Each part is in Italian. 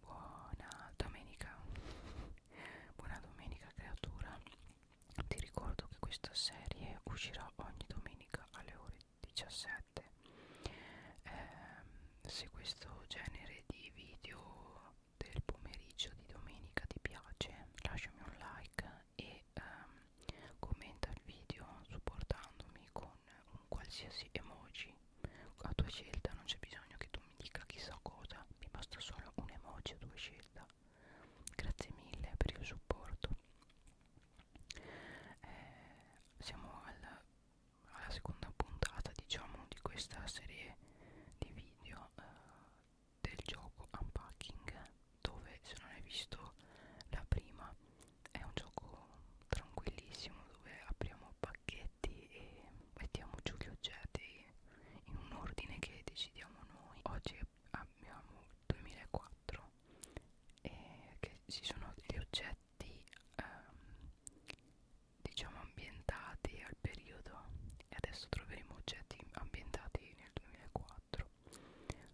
Buona domenica, buona domenica creatura. Ti ricordo che questa serie uscirà ogni domenica alle ore 17. Eh, se questo genere di video del pomeriggio di domenica ti piace, lasciami un like e ehm, commenta il video supportandomi con un qualsiasi emoji a tua scelta non c'è bisogno che tu mi dica chissà cosa mi basta solo un emoji a tua scelta grazie mille per il supporto eh, siamo alla, alla seconda puntata diciamo di questa serie di video eh, del gioco unpacking dove se non hai visto la prima è un gioco tranquillissimo dove apriamo pacchetti e mettiamo giù gli oggetti in un ordine che decidiamo noi oggi abbiamo 2004 e che ci sono degli oggetti ehm, diciamo ambientati al periodo e adesso troveremo oggetti ambientati nel 2004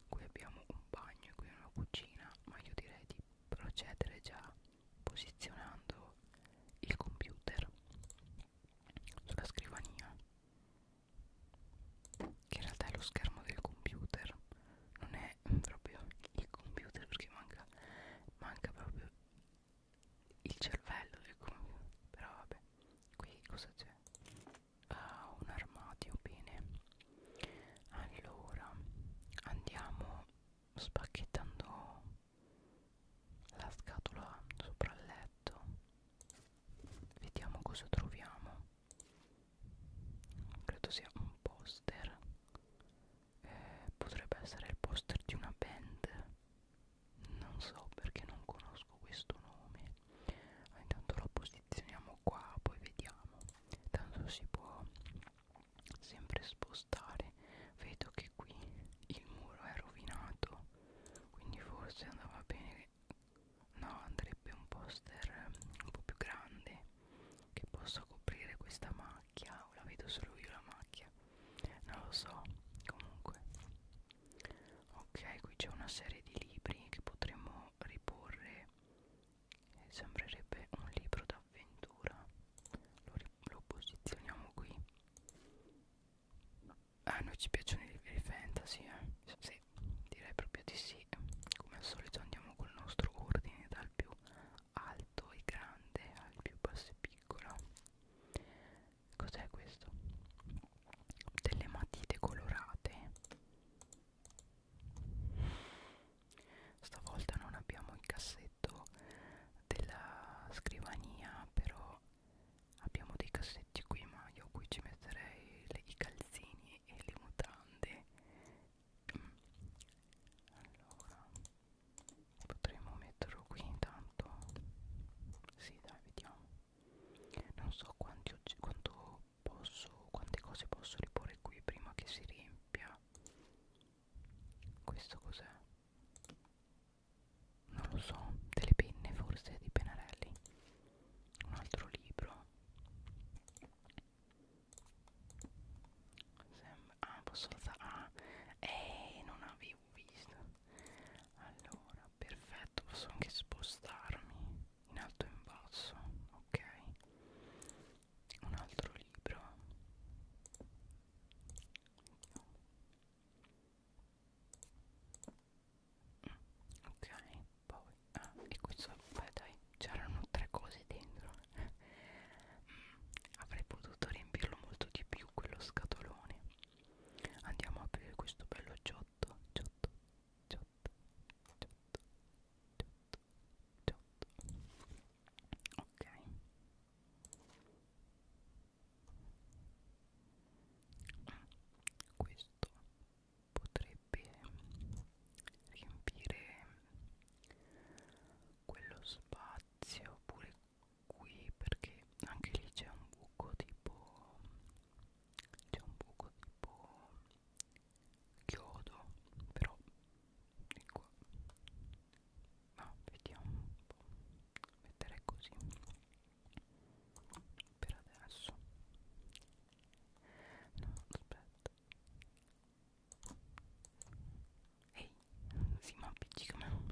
qui abbiamo un bagno qui una cucina ma io direi di procedere già posizionando il computer sulla scrivania che in realtà è lo schermo del computer non è proprio il computer perché manca manca proprio il cervello del computer però vabbè qui cosa c'è ah, un armadio bene allora andiamo spacchettando la scatola sopra il letto vediamo cosa troviamo credo sia un poster eh, potrebbe essere il poster di una band non so perché non conosco questo nome ma intanto lo posizioniamo qua poi vediamo tanto si può sempre spostare vedo che qui il muro è rovinato quindi forse andava bene no andrebbe un poster eh, un po' più grande che possa coprire questa macchia o la vedo solo io la macchia non lo so comunque ok qui c'è una serie di libri che potremmo riporre sembrerebbe un libro d'avventura lo, lo posizioniamo qui a ah, noi ci piacciono i libri fantasy eh? sì, direi proprio di sì come al solito andiamo col nostro ordine dal più alto e grande al più basso e piccolo cos'è questo? delle matite colorate stavolta non abbiamo il cassetto della scrivania però abbiamo dei cassetti qui ma io qui ci metterei le, i calzini e le mutande mm. allora potremmo metterlo qui intanto sì dai vediamo non so quanti quanto posso quante cose posso riporre qui prima che si riempia questo cos'è? non lo so delle penne forse di Penarelli un altro libro Sembra, ah posso alzare ah eh non avevo visto allora perfetto posso anche spostarmi in alto e in basso ok un altro libro ok poi ah, e questo beh dai c'erano tre cose dentro mm, avrei potuto riempirlo molto di più quello scatolone andiamo a aprire questo bello giotto giotto giotto giotto giotto Ciotto. Ok. Questo potrebbe riempire quello spazio pure qui perché anche lì c'è un buco tipo c'è un buco tipo chiodo però ecco ma vediamo un po' mettere così per adesso no aspetta ehi si ma appiccica me oh,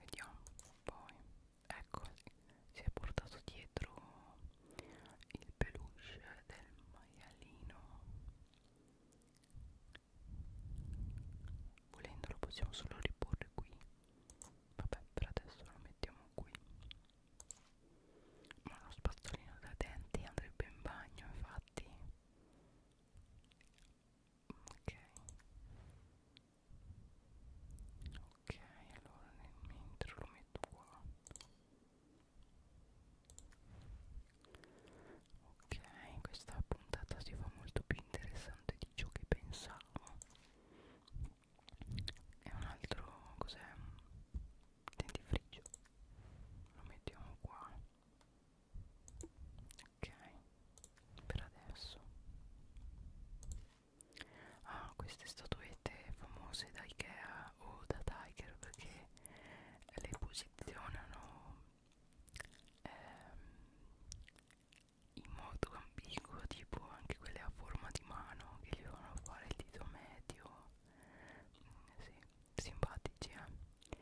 vediamo poi ecco si è portato dietro il peluche del maialino volendo lo possiamo solo riporre qui vabbè per adesso lo mettiamo qui ma lo spazzolino da denti andrebbe in bagno infatti ok ok allora mentre lo metto qua ok questa puntata si fa molto più interessante di ciò che pensavo e un altro cos'è dentifricio lo mettiamo qua ok per adesso ah, queste statuette famose da Ikea o da Tiger perché le posizionano ehm, in modo ambiguo tipo anche quelle a forma di mano che gli fanno fare il dito medio mm, sì, simpatici eh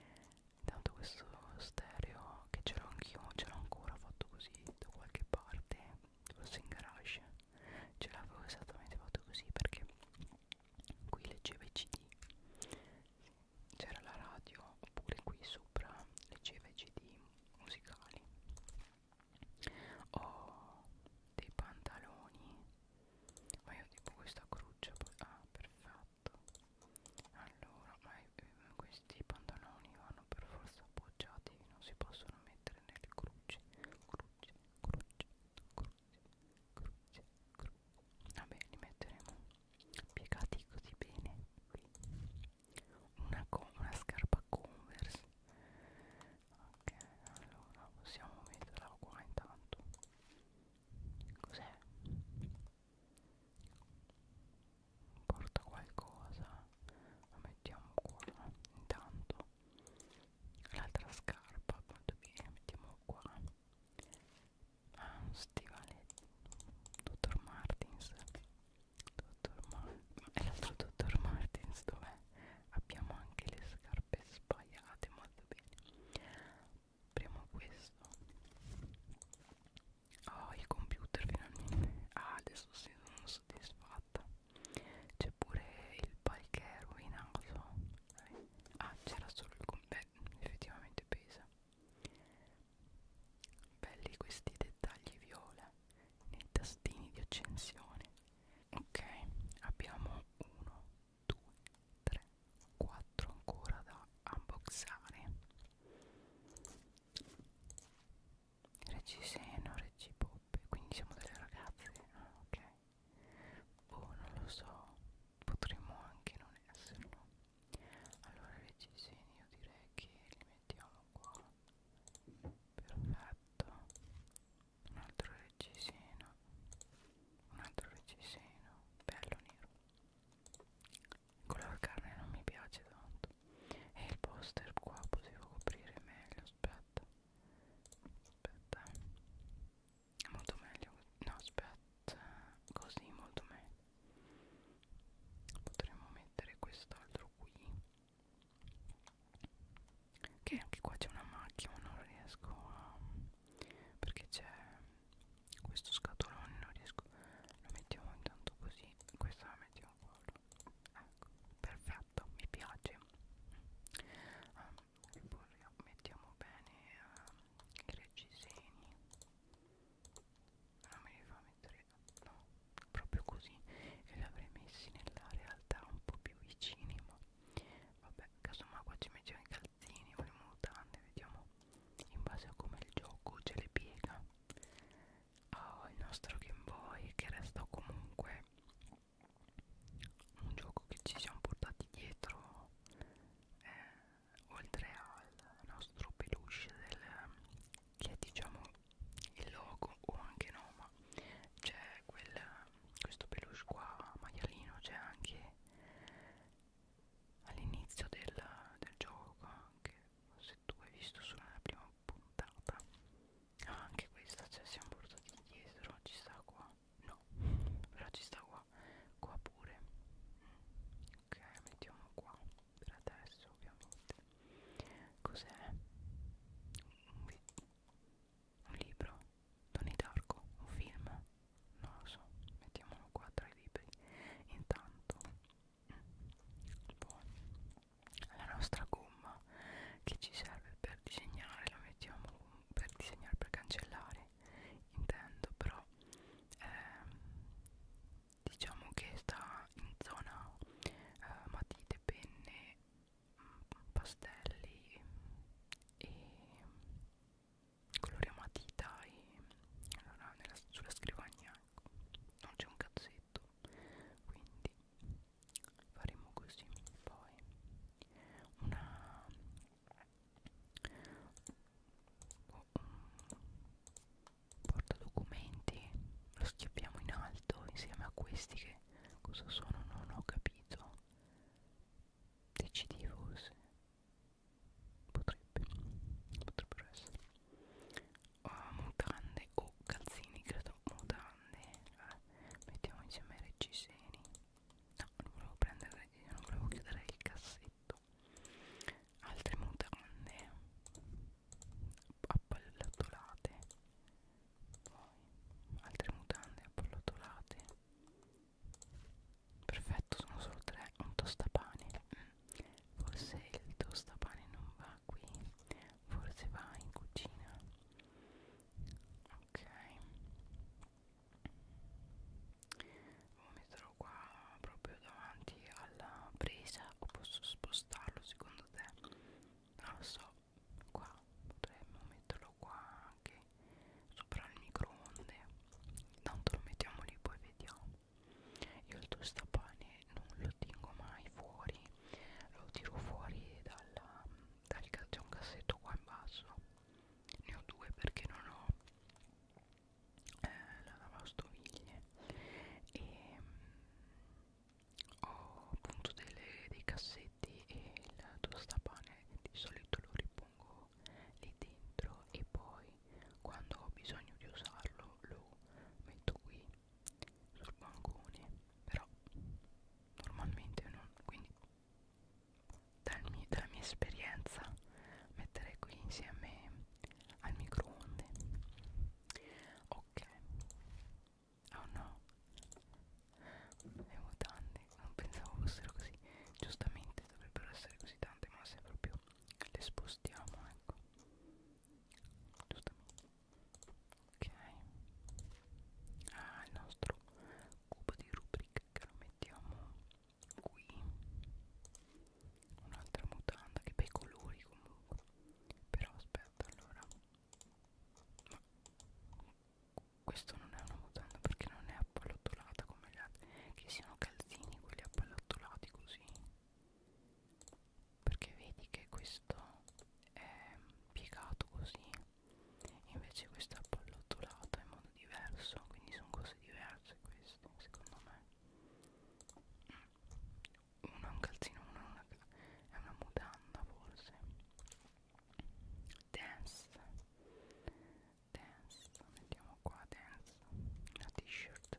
intanto questo stereo che ce l'ho anch'io ce l'ho ancora fatto così da qualche parte forse in garage ce l'avevo esattamente fatto così perché qui leggeva i cd c'era la radio oppure qui sopra leggeva i cd musicali ho dei pantaloni ma io tipo questa cruccia ah perfetto allora ma eh, questi pantaloni vanno per forza appoggiati non si possono mettere entrare nelle cruce, cruce, cruce, cruce, cruce. Vabbè, li metteremo piegati così bene qui. Una, una scarpa Converse. Ok, allora possiamo metterla qua intanto. Cos'è? Porta qualcosa. La mettiamo qua intanto l'altra scarpa molto bene mettiamo qua ah, un stivale dottor martins dottor martins e l'altro dottor martins dov'è abbiamo anche le scarpe sbagliate molto bene apriamo questo oh il computer finalmente ah adesso sì sono soddisfatta c'è pure il palchè rovinato ah c'era solo il beh effettivamente pesa belli questi dettagli viola nei tastini di accensione ok abbiamo 1 2 3 4 ancora da unboxare Regiseno, Regipoppe, quindi siamo delle ragazze, ah, ok. Boh, non lo so, potremmo anche non esserlo. Allora Regiseni io direi che li mettiamo qua. Perfetto. Un altro Regiseno. Un altro Regiseno, bello nero. Il colore carne non mi piace tanto. E il poster qua potevo coprire meglio, aspetta fatto aspetta è molto meglio no aspetta così molto meglio potremmo mettere quest'altro qui che anche qua c'è una macchina non riesco a perché c'è questo scatolone non riesco lo mettiamo intanto così questa la mettiamo lavoro ecco perfetto mi piace um, e poi mettiamo bene um, i reggiseni non me li fa mettere no proprio così che li avrei messi nella realtà un po' più vicini ma vabbè casomai qua ci mettiamo i calzini o le mutande vediamo in base a come il gioco ce le piega ho oh, il nostro Game Boy che resta comunque un gioco che ci siamo portati dietro eh, oltre al nostro peluche del, che è diciamo il logo o anche no ma c'è questo peluche qua maialino c'è anche all'inizio del, del gioco che se tu hai visto solo nella prima puntata ah, anche questa cioè siamo portati dietro ci sta qua no però ci sta qua qua pure mm. ok mettiamo qua per adesso ovviamente cos'è un, un libro Tony Darko un film non lo so mettiamolo qua tra i libri intanto mm. poi la nostra gomma che ci serve per disegnare la mettiamo per disegnare per cancellare intendo però ehm, diciamo che sta in zona eh, matite penne mm, pastelli e coloriamo a matita e allora nella, sulla scrivania ecco, non c'è un cazzetto quindi faremo così poi una un portadocumenti lo schiappiamo in alto insieme a questi che cosa sono non ho capito decidi forse potrebbe potrebbero essere uh, mutande o oh, calzini credo mutande allora, eh, mettiamo insieme reggiseni no non volevo prendere reggiseni non volevo chiudere il cassetto altre mutande appallatolate poi altre mutande appallatolate perfetto sono solo tre un tostapane mm. forse il tostapane non va qui forse va in cucina ok lo metterò qua proprio davanti alla presa o posso spostarlo secondo te non lo so qua potremmo metterlo qua anche sopra il microonde tanto lo mettiamo lì poi vediamo io il tostapane non lo tengo mai fuori lo tiro fuori dalla, dal, c'è un cassetto qua in basso ne ho due perché non ho eh, la lavastoviglie e mm, ho appunto delle, dei cassetti e il tostapane di solito lo ripongo lì dentro e poi quando ho bisogno di usarlo lo metto qui sul bancone però normalmente non quindi dal mio, dalla mia esperienza metterei qui insieme al microonde ok oh no le mutande non pensavo fossero così giustamente dovrebbero essere così tante ma se proprio le spostiamo ecco giustamente ok ah il nostro cubo di rubrica che lo mettiamo qui un'altra mutanda che bei colori comunque però aspetta allora ma questo non è una mutanda perché non è appallottolata come le altre che siano calzini quelli appallottolati così perché vedi che questo è piegato così invece questo è appallottolato in modo diverso quindi sono cose diverse queste secondo me mm. uno è un calzino uno è una, è una mutanda forse dance dance mettiamo qua dance una t-shirt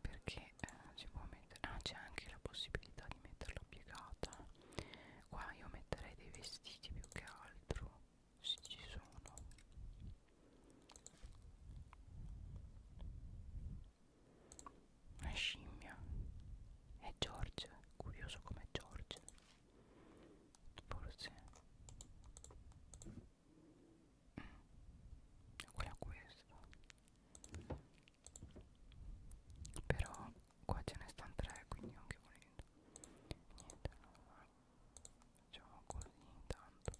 perché eh, si può mettere ah c'è anche la possibilità di metterla piegata qua io metterei dei vestiti più che altro se ci sono una scimmia è George curioso come George forse mm. quella questa però qua ce ne stanno tre quindi anche volendo niente facciamo così intanto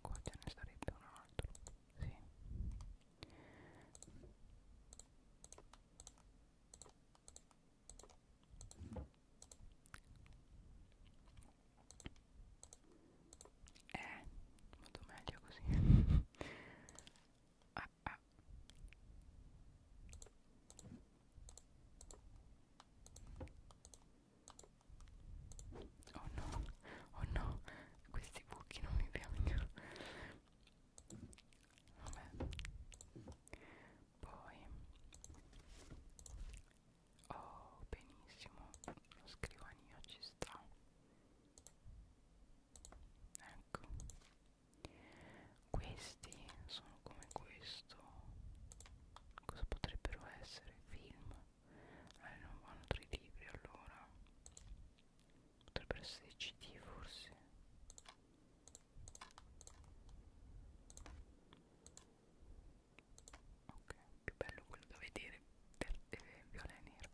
qua ce ne sarebbe un altro sì eh, molto meglio così. ah, ah. Oh no, oh no, questi buchi non mi piacciono. Vabbè. Poi Oh, benissimo, una scrivania ci sta. Ecco. Questi sono come questo. Cosa potrebbero essere? Film. Eh, non vanno tra i libri allora. Potrebbero essere CD forse ok più bello quello da vedere per eh, viola e nero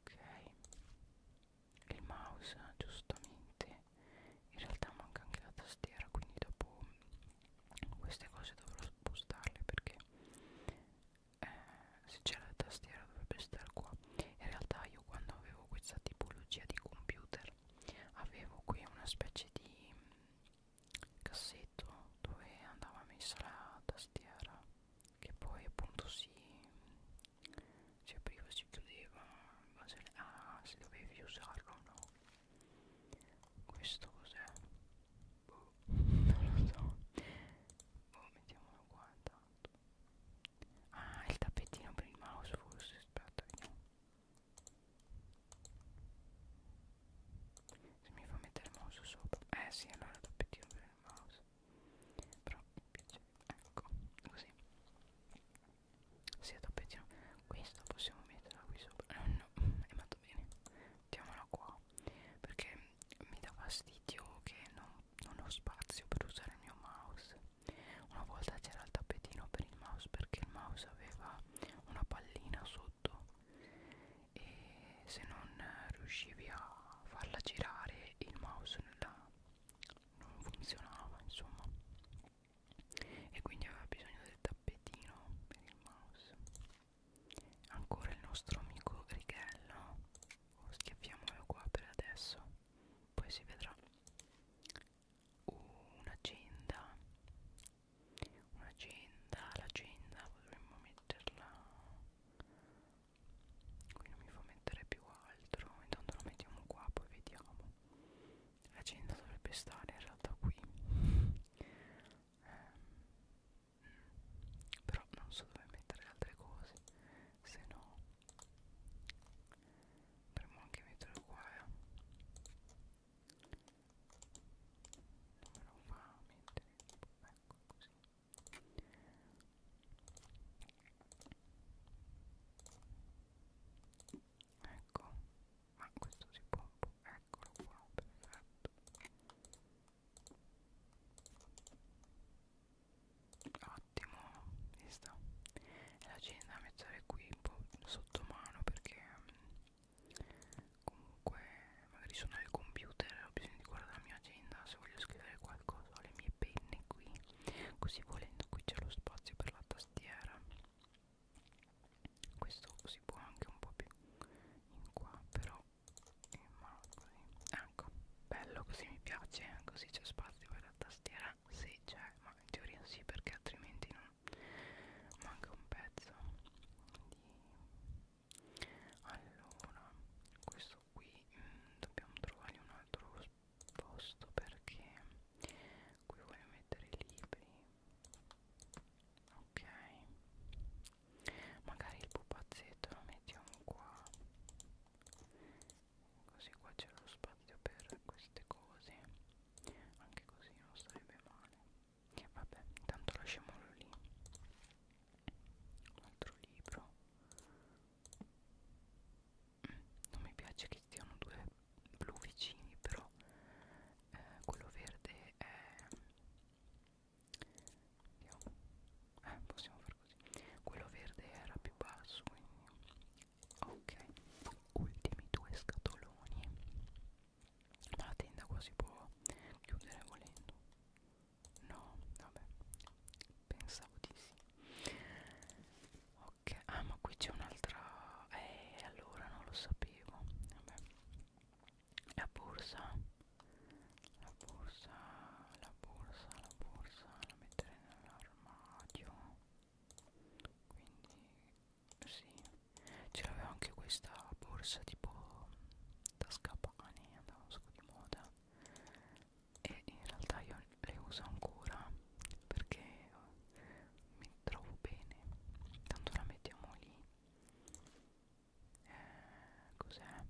ok il mouse giustamente in realtà manca anche la tastiera quindi dopo queste cose dovrò spostarle perché eh, se c'è la tastiera dovrebbe stare qua in realtà io quando avevo questa tipologia di computer avevo qui una specie di cassetto dove andava messa la tastiera che poi appunto si, si apriva e si chiudeva in base a se dovevi usarlo o no questo cos'è? Boh, non lo so boh mettiamolo qua intanto ah il tappetino per il mouse forse aspetta vediamo se mi fa mettere il mouse sopra Eh sì allora dopo tiro per il mouse Però mi piace Ecco così Sì dopo tiro Questo possiamo metterla qui sopra eh, No no è andato bene Mettiamola qua Perché mi dà fastidio che non, non ho spazio per usare il mio mouse Una volta c'era il tappetino per il mouse perché il mouse aveva una pallina su sotto e se non riuscivi a farla girare il mouse nella, non funzionava insomma e quindi aveva bisogno del tappetino per il mouse ancora il nostro amico righello oh, schiaffiamolo qua per adesso poi si vedrà un'agenda un'agenda l'agenda potremmo metterla qui non mi fa mettere più altro intanto la mettiamo qua poi vediamo l'agenda dovrebbe stare in realtà qui eh, però non so dove mettere le altre cose se no dovremmo anche metterlo qua eh dovrò fa mettere ecco così ecco ma questo si può un po' eccolo qua perfetto ottimo vista e la cena mettere qui un po' sotto mano perché mm, comunque magari sono al computer ho bisogno di guardare la mia agenda se voglio scrivere qualcosa ho le mie penne qui così volendo qui c'è lo spazio per la tastiera questo si può anche un po' più in qua però eh, ma così ecco bello così mi piace eh, così c'è spazio per la tastiera se sì, c'è ma in teoria sì perché altrimenti non manca un pezzo di allora questo qui mh, mm, dobbiamo trovare un altro posto perché qui voglio mettere i libri ok magari il pupazzetto lo mettiamo qua così qua c'è lo spazio per queste cose anche così non sarebbe male vabbè intanto lasciamolo lì un altro libro mm, non mi piace che siano due blu vicini però eh, quello verde è Andiamo. eh possiamo far così quello verde era più basso quindi ok ultimi due scatoloni ma la tenda qua si può chiudere volendo no vabbè pensavo di sì ok ah ma qui c'è un'altra eh allora non lo sapevo vabbè la borsa la borsa la borsa la borsa la metterei nell'armadio quindi sì, ce l'avevo anche questa borsa tipo da scapani, andava un sacco di moda e in realtà io le uso ancora perché mi trovo bene, tanto la mettiamo lì. Eh, Cos'è?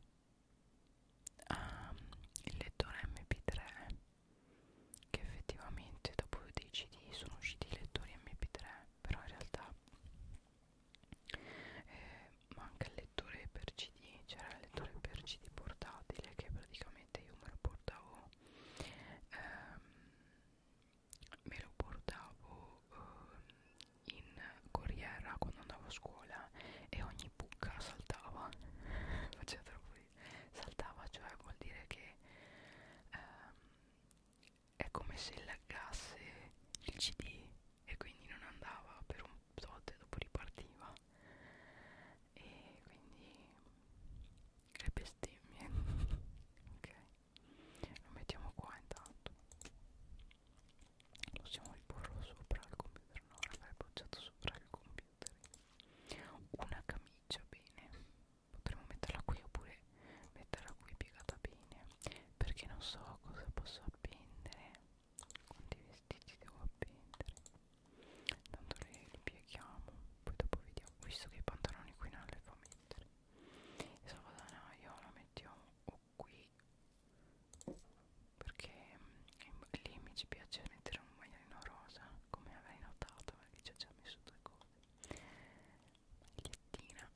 Ah, il lettore MP3 che effettivamente dopo dei CD sono usciti i lettori MP3 però in realtà eh, manca il lettore per cd c'era il lettore per cd portatile che praticamente io me lo portavo ehm, me lo portavo eh, in corriera quando andavo a scuola e ogni buca saltava faceva troppo saltava cioè vuol dire che ehm, è come se laggasse il cd e quindi non andava per un tot e dopo ripartiva e quindi le bestemmie ok lo mettiamo qua intanto possiamo riporlo sopra il computer no l'avrei appoggiato sopra il computer una camicia bene potremmo metterla qui oppure metterla qui piegata bene perché non so cosa posso appendere quanti vestiti devo appendere tanto li, li pieghiamo poi dopo vediamo visto che i pantaloni qui non li fa mettere il salvadanaio la mettiamo o qui perché mm, lì mi ci piace mettere un magliolino rosa come avrei notato perché ci ho già messo due cose magliettina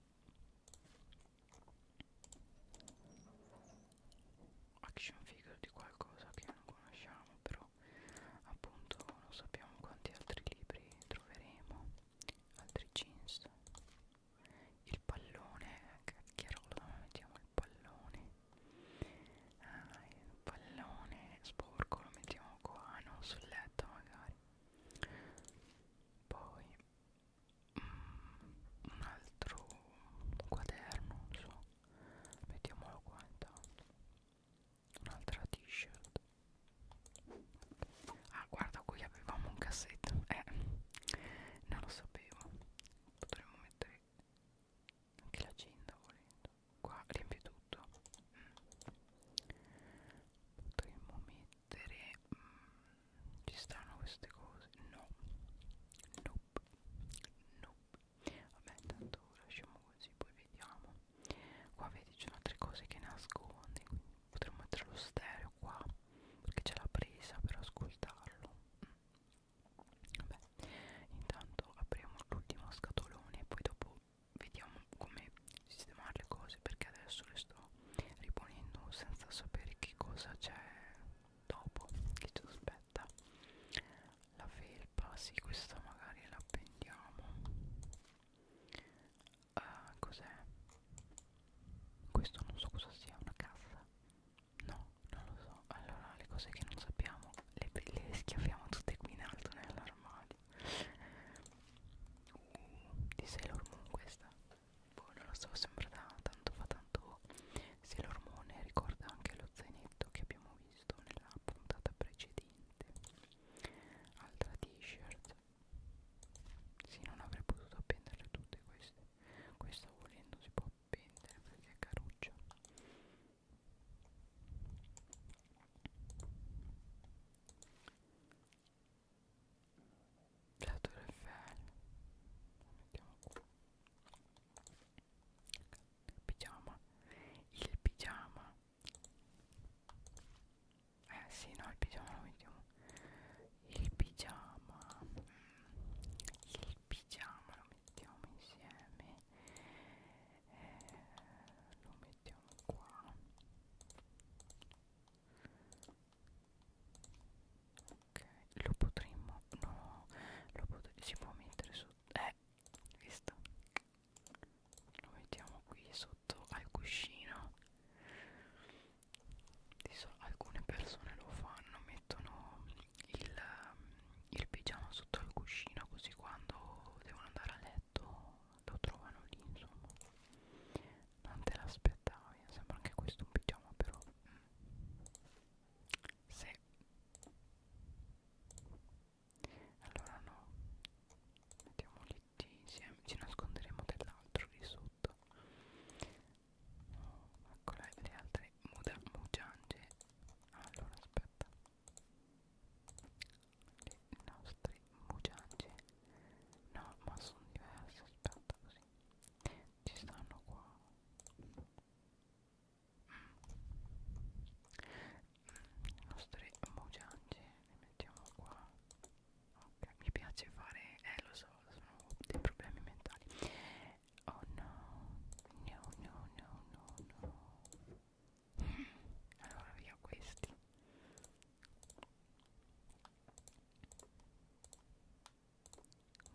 action figure di qualcosa che non conosciamo però appunto non sappiamo quanti altri libri troveremo altri jeans il pallone cacchiarola mettiamo il pallone ah, il pallone sporco lo mettiamo qua non sul letto magari poi mm, un altro quaderno non so mettiamolo qua intanto un'altra t-shirt ah guarda qui avevamo un cassetto eh non lo sapevo potremmo mettere anche l'agenda volendo qua riempie tutto mm. potremmo mettere mettere mm, ci stanno queste cose no nope nope vabbè intanto lasciamo così poi vediamo qua vedi ci sono altre cose che nasconde quindi potremmo mettere lo stereo qua perché c'è la presa per ascoltarlo mm. vabbè intanto apriamo l'ultimo scatolone e poi dopo vediamo come sistemare le cose perché adesso le sto riponendo senza sapere che cosa c'è dopo che ci aspetta la felpa sì questa magari la appendiamo uh, ah, cos'è questo non so cosa sia una cassa no non lo so allora le cose che non sappiamo le, le schiaffiamo tutte qui in alto nell'armadio Uh, di Sailor Moon questa Boh, non lo so, sembra da tanto fa tanto Sailor Moon ricorda anche lo zainetto che abbiamo visto nella puntata precedente Altra t-shirt Sì, non avrei potuto appenderle tutte queste Questa volendo si può appendere perché è caruccia la Tour Eiffel la mettiamo qua pigiama il pigiama eh sì no il pigiama lo mettiamo il pigiama il pigiama lo mettiamo insieme eh, lo mettiamo mettiamo qua ok lo potremmo no lo potremmo si può mettere sotto eh visto lo mettiamo qui sotto al cuscino Adesso alcune persone lo fanno mettono il, il pigiama sotto al cuscino così quando devono andare a letto oggetto lo trovano lì insomma non te l'aspettavi eh, sembra anche questo un pigiama però mm. se allora no mettiamo lì insieme ci nasconderemo dell'altro lì sotto no, oh, ecco le altre muda mugiange allora aspetta le nostre mugiange no ma sono diverse aspetta così ci stanno qua le mm. nostre mugiange le mettiamo qua ok mi piace fare eh lo so sono dei problemi mentali oh no no no no no no allora via questi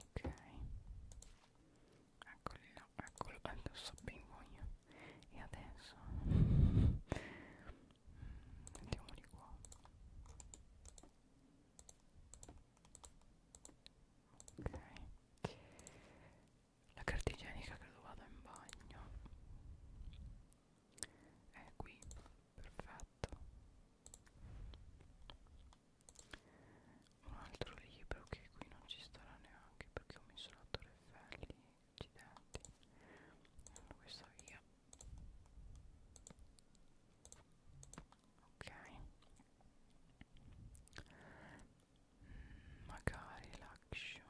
ok eccoli là eccolo lo sappiamo io e adesso mettiamoli qua ok la carta igienica credo vada in bagno è qui perfetto un altro libro che qui non ci starà neanche perché ho messo la torre Eiffel accidenti allora questa via ok mm, magari la action mm.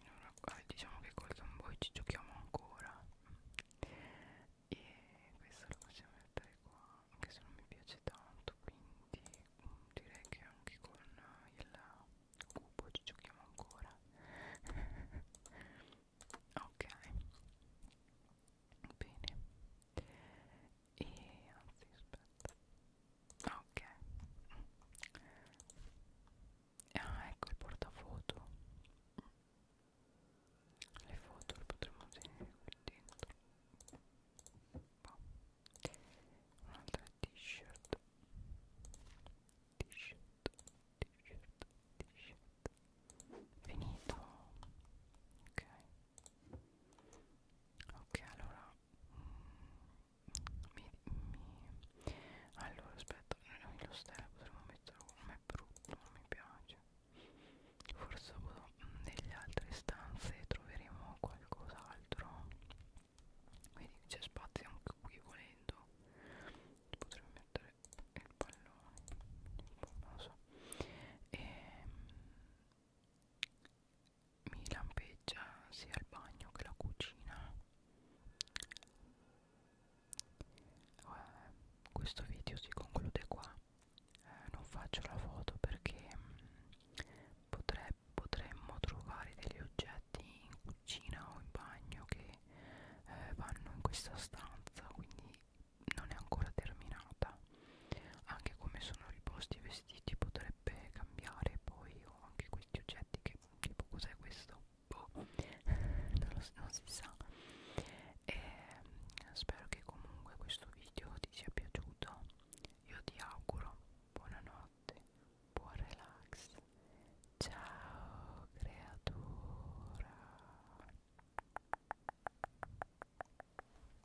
allora, vabbè, diciamo che Golden Boy ci giochiamo ancora e questo lo possiamo mettere qua anche se non mi piace tanto quindi mm, direi che anche con il cubo ci giochiamo ancora ok bene e anzi aspetta ok ah ecco il portafoto le foto le potremmo tenere qui dentro boh. un'altra t-shirt t-shirt t-shirt t-shirt finito ok ok allora mm, mi, mi allora aspetta noi lo stella potremmo metterlo come è brutto non mi piace forse dopo mm, nelle altre stanze troveremo qualcos'altro vedi c'è spazio anche qui volendo potremmo mettere il pallone non so e ehm, mi lampeggia sia il bagno che la cucina eh, questo video si conclude qua eh, non faccio la foto perché mh, mm, potre, potremmo trovare degli oggetti in cucina o in bagno che eh, vanno in questa stanza quindi non è ancora terminata anche come sono riposti i vestiti potrebbe cambiare poi ho anche questi oggetti che tipo cos'è questo boh. non, lo, non si sa e ehm, spero che comunque questo video ti sia piaciuto io ti auguro buonanotte buon relax ciao creatura